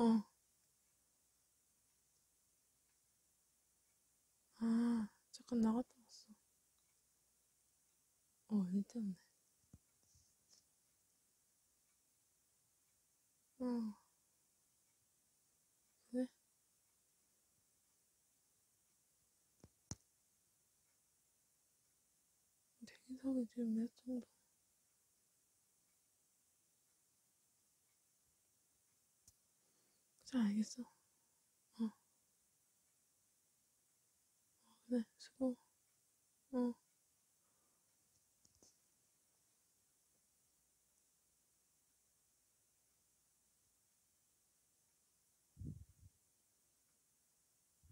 어. 아, 잠깐 나갔다 왔어. 어, 일 때문에. 어. 그래? 대기석이 지금 몇 정도? 잘 알겠어. 어. 어, 그래, 수고. 어.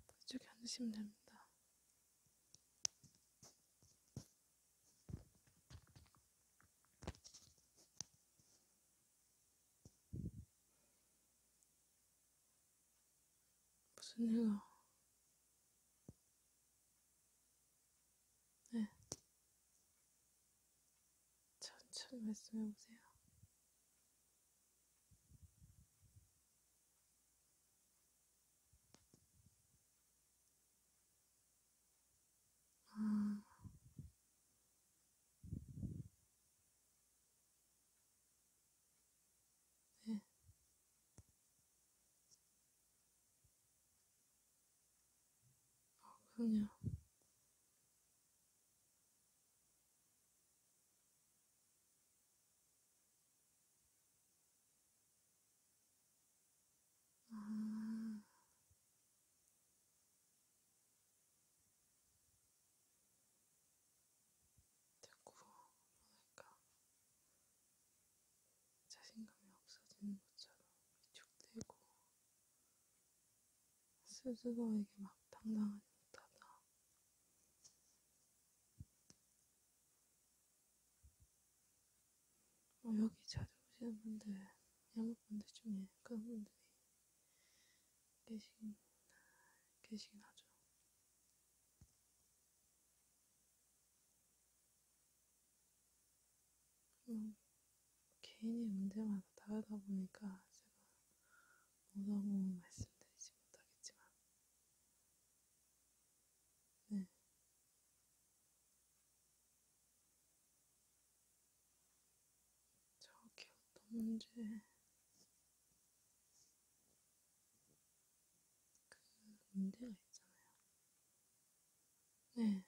그쪽에 앉으시면 됩니다. 무슨 일로? 네. 천천히 말씀해 보세요. 아. 음. 네. 그냥 아... 자꾸 뭐랄까 그러니까. 자신감이 없어지는 것처럼 위축되고 스스로에게 막 당당하지 못하다. 뭐 여기 자주 오시는 분들, 양육분들 중에 그런 분들이 계시긴, 계시긴 하죠. 그냥 개인의 문제마다 다르다 보니까 제가 뭐라고 말씀드리지 못하겠지만, 네. 저게 어떤 문제, 그 문제가 있잖아요. 네.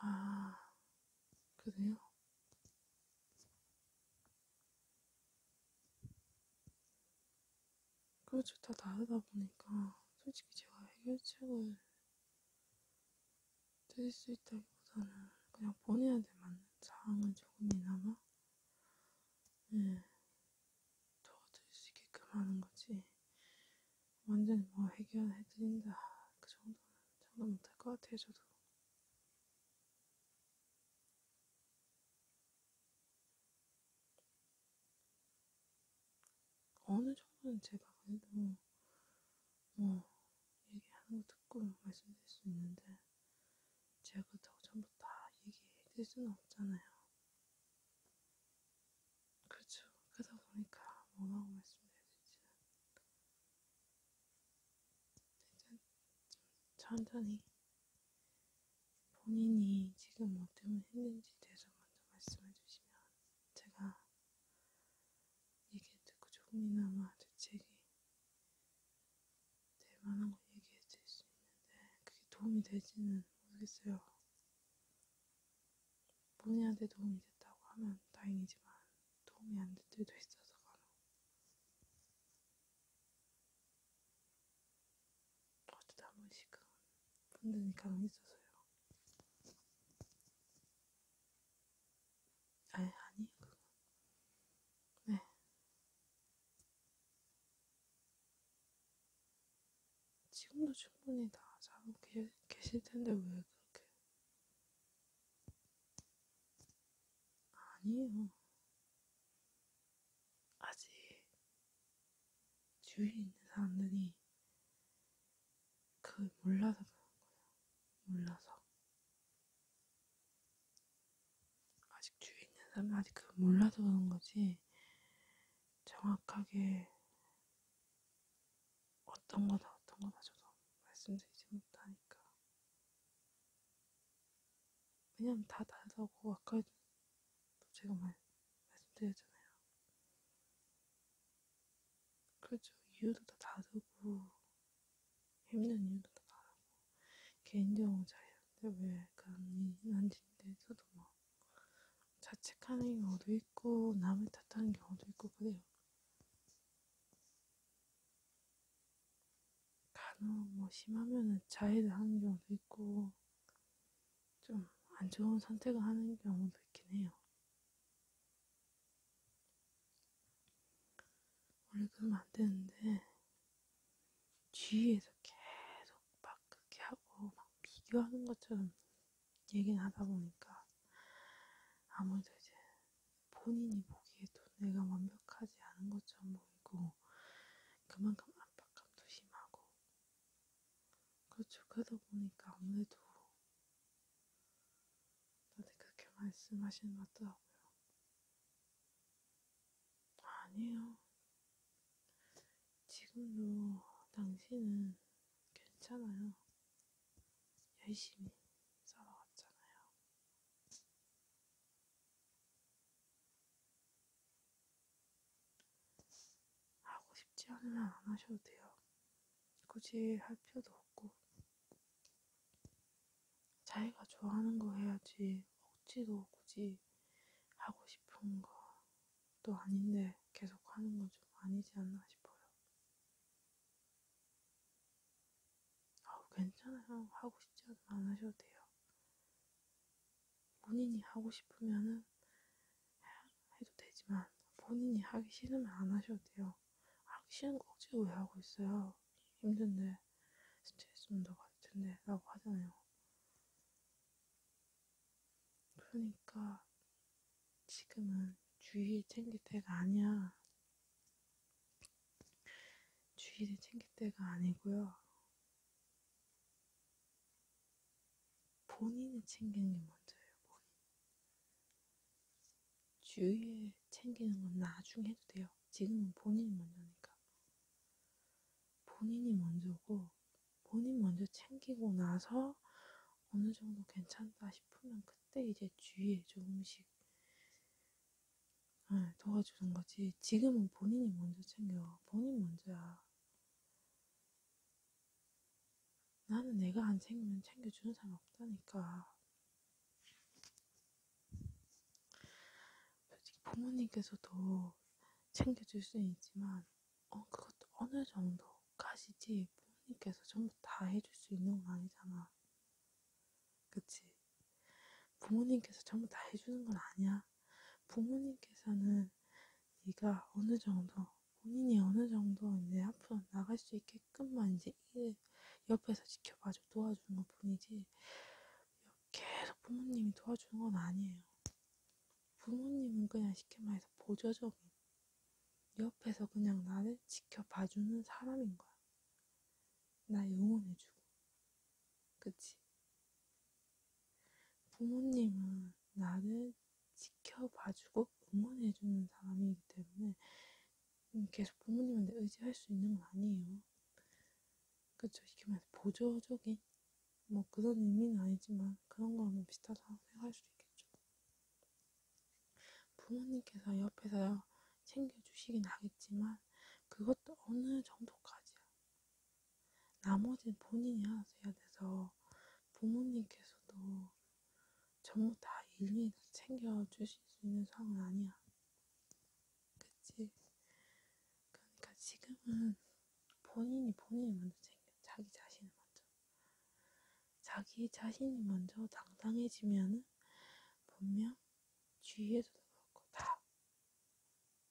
아, 그래요? 그것도 그렇죠. 다 다르다 보니까 솔직히 제가 해결책을 드릴 수 있다기보다는 그냥 본인한테 맞는 상황을 조금이나마 응. 도와줄 수 있게끔 하는 거지. 완전히 뭐 해결해드린다. 그 정도는 장난 못할 것 같아요, 저도. 어느 정도는 제가 그래도 뭐 얘기하는 거 듣고 말씀드릴 수 있는데 제가 그렇다고 전부 다 얘기해드릴 수는 없잖아요. 그렇죠. 그러다 보니까 뭐라고 말씀드릴지는 일단 좀 천천히 본인이 지금 뭐 때문에 힘든지 대해서 먼저 말씀해 주시면 제가 얘기 듣고 조금이나마 대책이 될 만한 거 얘기해 드릴 수 있는데 그게 도움이 되지는 모르겠어요. 본인한테 도움이 됐다고 하면 다행이지만 도움이 안 될 때도 있어서 간혹 어쩌다 한 번씩은 분들이 간혹 있어서요. 아니, 아니, 그건. 네. 지금도 충분히 다 자고 계, 계실 텐데 왜 그렇게? 아니에요. 아직 주위에 있는 사람들이 그걸 몰라서 그런 거예요. 몰라서. 아직 주위에 있는 사람은 아직 그 몰라서 그런 거지 정확하게 어떤 거다 어떤 거다 저도 말씀드리지 못하니까 왜냐면 다 다르다고 아까 제가 말, 말씀드렸잖아요 그렇죠 이유도 다 다르고 힘든 일도 많고 개인적으로 자기한테 왜 그런 일이 한지에 대해서도 막 자책하는 경우도 있고 남을 탓하는 경우도 있고 그래요. 간혹 뭐 심하면은 자해를 하는 경우도 있고 좀 안 좋은 선택을 하는 경우도 있긴 해요. 원래 그러면 안 되는데 뒤에서 계속 막 그렇게 하고 막 비교하는 것처럼 얘기를 하다 보니까 아무래도 이제 본인이 보기에도 내가 완벽하지 않은 것처럼 보이고 그만큼 압박감도 심하고 그렇죠. 그러다 보니까 아무래도 다들 그렇게 말씀하시는 것 같더라고요. 아니에요. 지금도 당신은 괜찮아요. 열심히 살아왔잖아요. 하고 싶지 않으면 안 하셔도 돼요. 굳이 할 필요도 없고. 자기가 좋아하는 거 해야지 억지로 굳이 하고 싶은 거 또 아닌데 계속 하는 건 좀 아니지 않나 싶어요. 아우 괜찮아요. 하고 싶지 않으면 안 하셔도 돼요. 본인이 하고 싶으면은 해도 되지만 본인이 하기 싫으면 안 하셔도 돼요. 하기 싫은 거 억지로 왜 하고 있어요? 힘든데. 때문에 스트레스 온다고 할 텐데 라고 하잖아요. 그러니까 지금은 주의 챙길 때가 아니야. 주의를 챙길 때가 아니고요. 본인을 챙기는 게 먼저예요. 본인. 주의를 챙기는 건 나중에 해도 돼요. 지금은 본인이 먼저니까. 본인이 먼저고, 본인 먼저 챙기고 나서 어느 정도 괜찮다 싶으면 그때 이제 주위에 조금씩 네, 도와주는 거지. 지금은 본인이 먼저 챙겨. 본인 먼저야. 나는 내가 안 챙기면 챙겨주는 사람 없다니까. 솔직히 부모님께서도 챙겨줄 수는 있지만, 어, 그것도 어느 정도까지지 부모님께서 전부 다 해줄 수 있는 건 아니잖아. 그치? 부모님께서 전부 다 해주는 건 아니야. 부모님께서는 네가 어느 정도 본인이 어느 정도 이제 앞으로 나갈 수 있게끔만 이제 옆에서 지켜봐줘 도와주는 것 뿐이지 계속 부모님이 도와주는 건 아니에요. 부모님은 그냥 쉽게 말해서 보조적인, 옆에서 그냥 나를 지켜봐주는 사람인 거야. 날 응원해주고. 그치? 부모님은 나를 지켜봐주고 응원해주는 사람이기 때문에 음, 계속 부모님한테 의지할 수 있는 건 아니에요. 그쵸 이렇게 말해서 보조적인 뭐 그런 의미는 아니지만 그런 거하고 비슷하다고 생각할 수도 있겠죠. 부모님께서 옆에서 챙겨주시긴 하겠지만 그것도 어느 정도까지야. 나머지는 본인이 알아서 해야 돼서 부모님께서도 전부 다 일일이 챙겨주실 수 있는 상황은 아니야. 그치? 그러니까 지금은 본인이 본인이 먼저 챙겨. 자기 자신을 먼저. 자기 자신이 먼저 당당해지면은 분명 주위에서도 그렇고 다,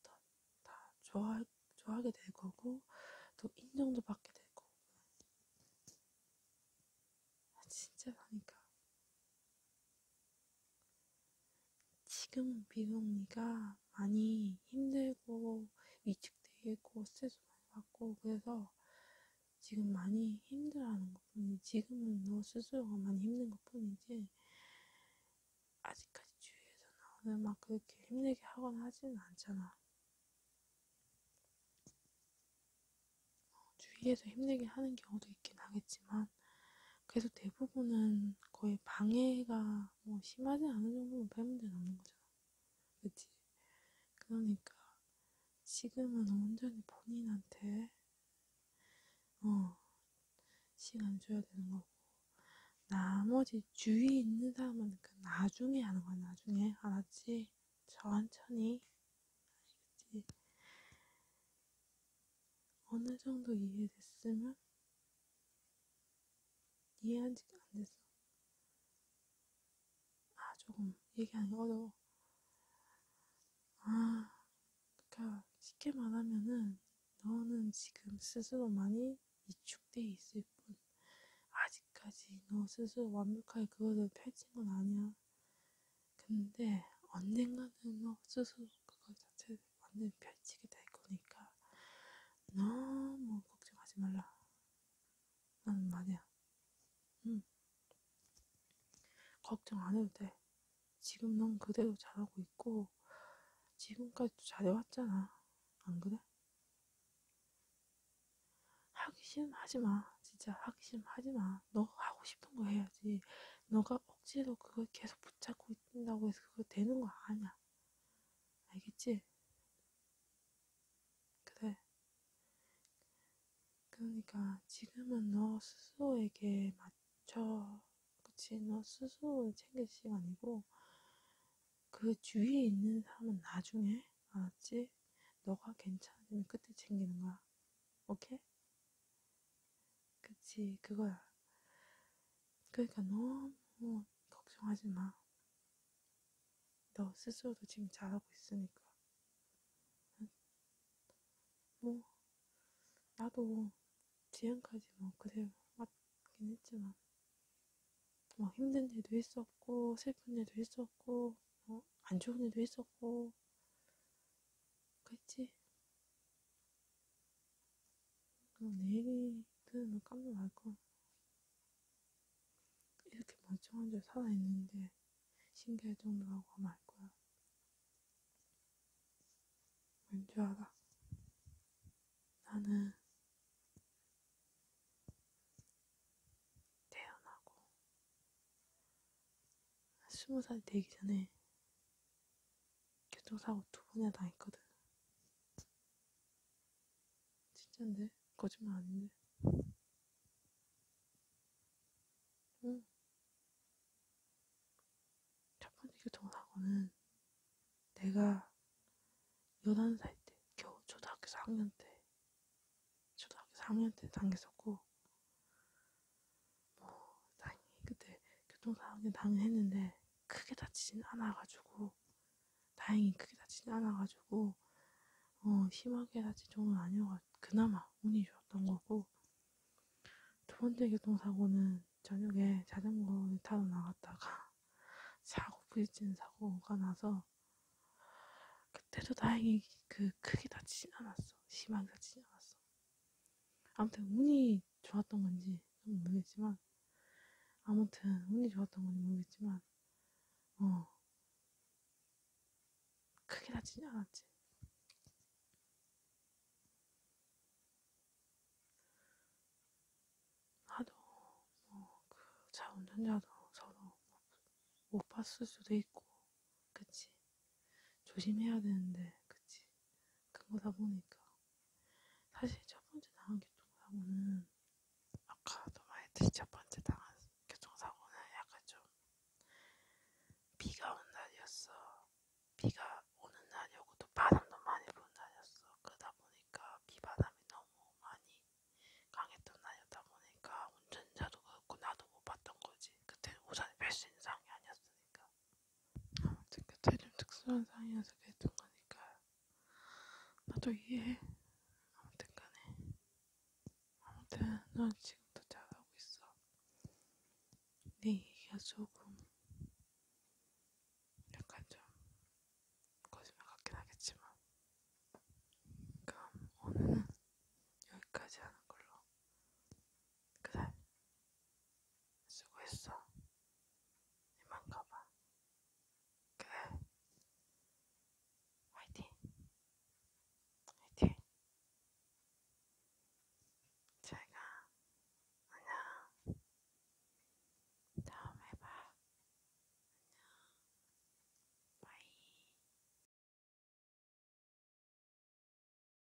다, 다 좋아, 좋아하게 될 거고 또 인정도 받게 될 거고. 아, 진짜 그러니까 지금 미국 네가 많이 힘들고 위축되어 있고 스트레스 많이 받고 그래서 지금 많이 힘들어하는 것 뿐이지 지금은 너 스스로가 많이 힘든 것 뿐이지 아직까지 주위에서 나오는 막 그렇게 힘들게 하거나 하지는 않잖아 어, 주위에서 힘들게 하는 경우도 있긴 하겠지만 그래서 대부분은 거의 방해가 뭐 심하지 않은 정도면 배문제 남는 거잖아. 그치? 그러니까 지금은 온전히 본인한테 어, 시간 줘야 되는 거고 나머지 주위에 있는 사람은 그 나중에 하는 거야 나중에 알았지? 천천히 알겠지? 어느 정도 이해됐으면 이해한 지가 안 됐어. 아, 조금 얘기하기 어려워. 아, 그러니까 쉽게 말하면은 너는 지금 스스로 많이 위축돼 있을 뿐. 아직까지 너 스스로 완벽하게 그거를 펼친 건 아니야. 근데 언젠가는 어, 스스로 그거 자체를 완전 펼치게 될 거니까 너무 걱정하지 말라. 나는 말이야. 응. 걱정 안 해도 돼. 지금 넌 그대로 잘하고 있고, 지금까지도 잘해왔잖아. 안 그래? 하기 싫으면 하지 마. 진짜 하기 싫으면 하지 마. 너 하고 싶은 거 해야지. 너가 억지로 그걸 계속 붙잡고 있다고 해서 그거 되는 거 아니야. 알겠지? 그래. 그러니까 지금은 너 스스로에게 맞춰. 그치? 너 스스로 챙길 시간이고, 그 주위에 있는 사람은 나중에, 알았지? 너가 괜찮으면 그때 챙기는 거야. 오케이? 그치, 그거야. 그러니까 너무 걱정하지 마. 너 스스로도 지금 잘하고 있으니까. 뭐, 나도 지금까지 뭐 그래 왔긴 했지만, 뭐 힘든 일도 있었고, 슬픈 일도 있었고, 뭐안 좋은 일도 있었고, 그랬지? 내일이 들으면 깜짝 놀랄거 이렇게 멀쩡한 줄 살아있는데 신기할 정도라고 하면 알거야 왠지 알아 나는 태어나고 스무 살 되기 전에 교통사고 두 번이나 당했거든. 진짠데? 거짓말 아닌데? 응. 첫 번째 교통사고는 내가 11살 때, 겨우 초등학교 4학년 때, 초등학교 4학년 때 당했었고, 뭐 다행히 그때 교통사고에 당했는데 크게 다치진 않아가지고 다행히 크게 다치진 않아가지고 어, 심하게 다친 정도는 아니어가 그나마 운이 좋았던 거고 두 번째 교통사고는 저녁에 자전거를 타러 나갔다가 사고 부딪히는 사고가 나서 그때도 다행히 그 크게 다치진 않았어 심하게 다치진 않았어 아무튼 운이 좋았던 건지 모르겠지만 아무튼 운이 좋았던 건지 모르겠지만 어 크게 다치지 않았지. 하도 뭐그자 운전자도 서로 못 봤을 수도 있고 그치 조심해야 되는데, 그치? 그거다 보니까. 사실 첫 번째 당한 교통사고는, 아까도 말했듯이 첫 번째 당한 교통사고는 약간 좀, 비가 온 날이었어. 비가 오는 날이었고, 또 바람도 많이 부는 날이었어. 그러다 보니까 비바람이 너무 많이 강했던 날이었다 보니까, 운전자도 그렇고, 나도 못 봤던 거지. 그때는 우산을 뺄수 있는 상황이 아니었으니까. 어쨌든 체중 특수한 상황에서 그랬던 거니까 나도 이해해. 아무튼 간에 아무튼 넌 지금도 잘하고 있어. 내 얘기가 조금 약간 좀 거짓말 같긴 하겠지만 그럼 오늘은 여기까지 하는 걸로 그래 수고했어 이만 가봐 그래 화이팅 화이팅 잘가 안녕 다음에 봐 안녕 바이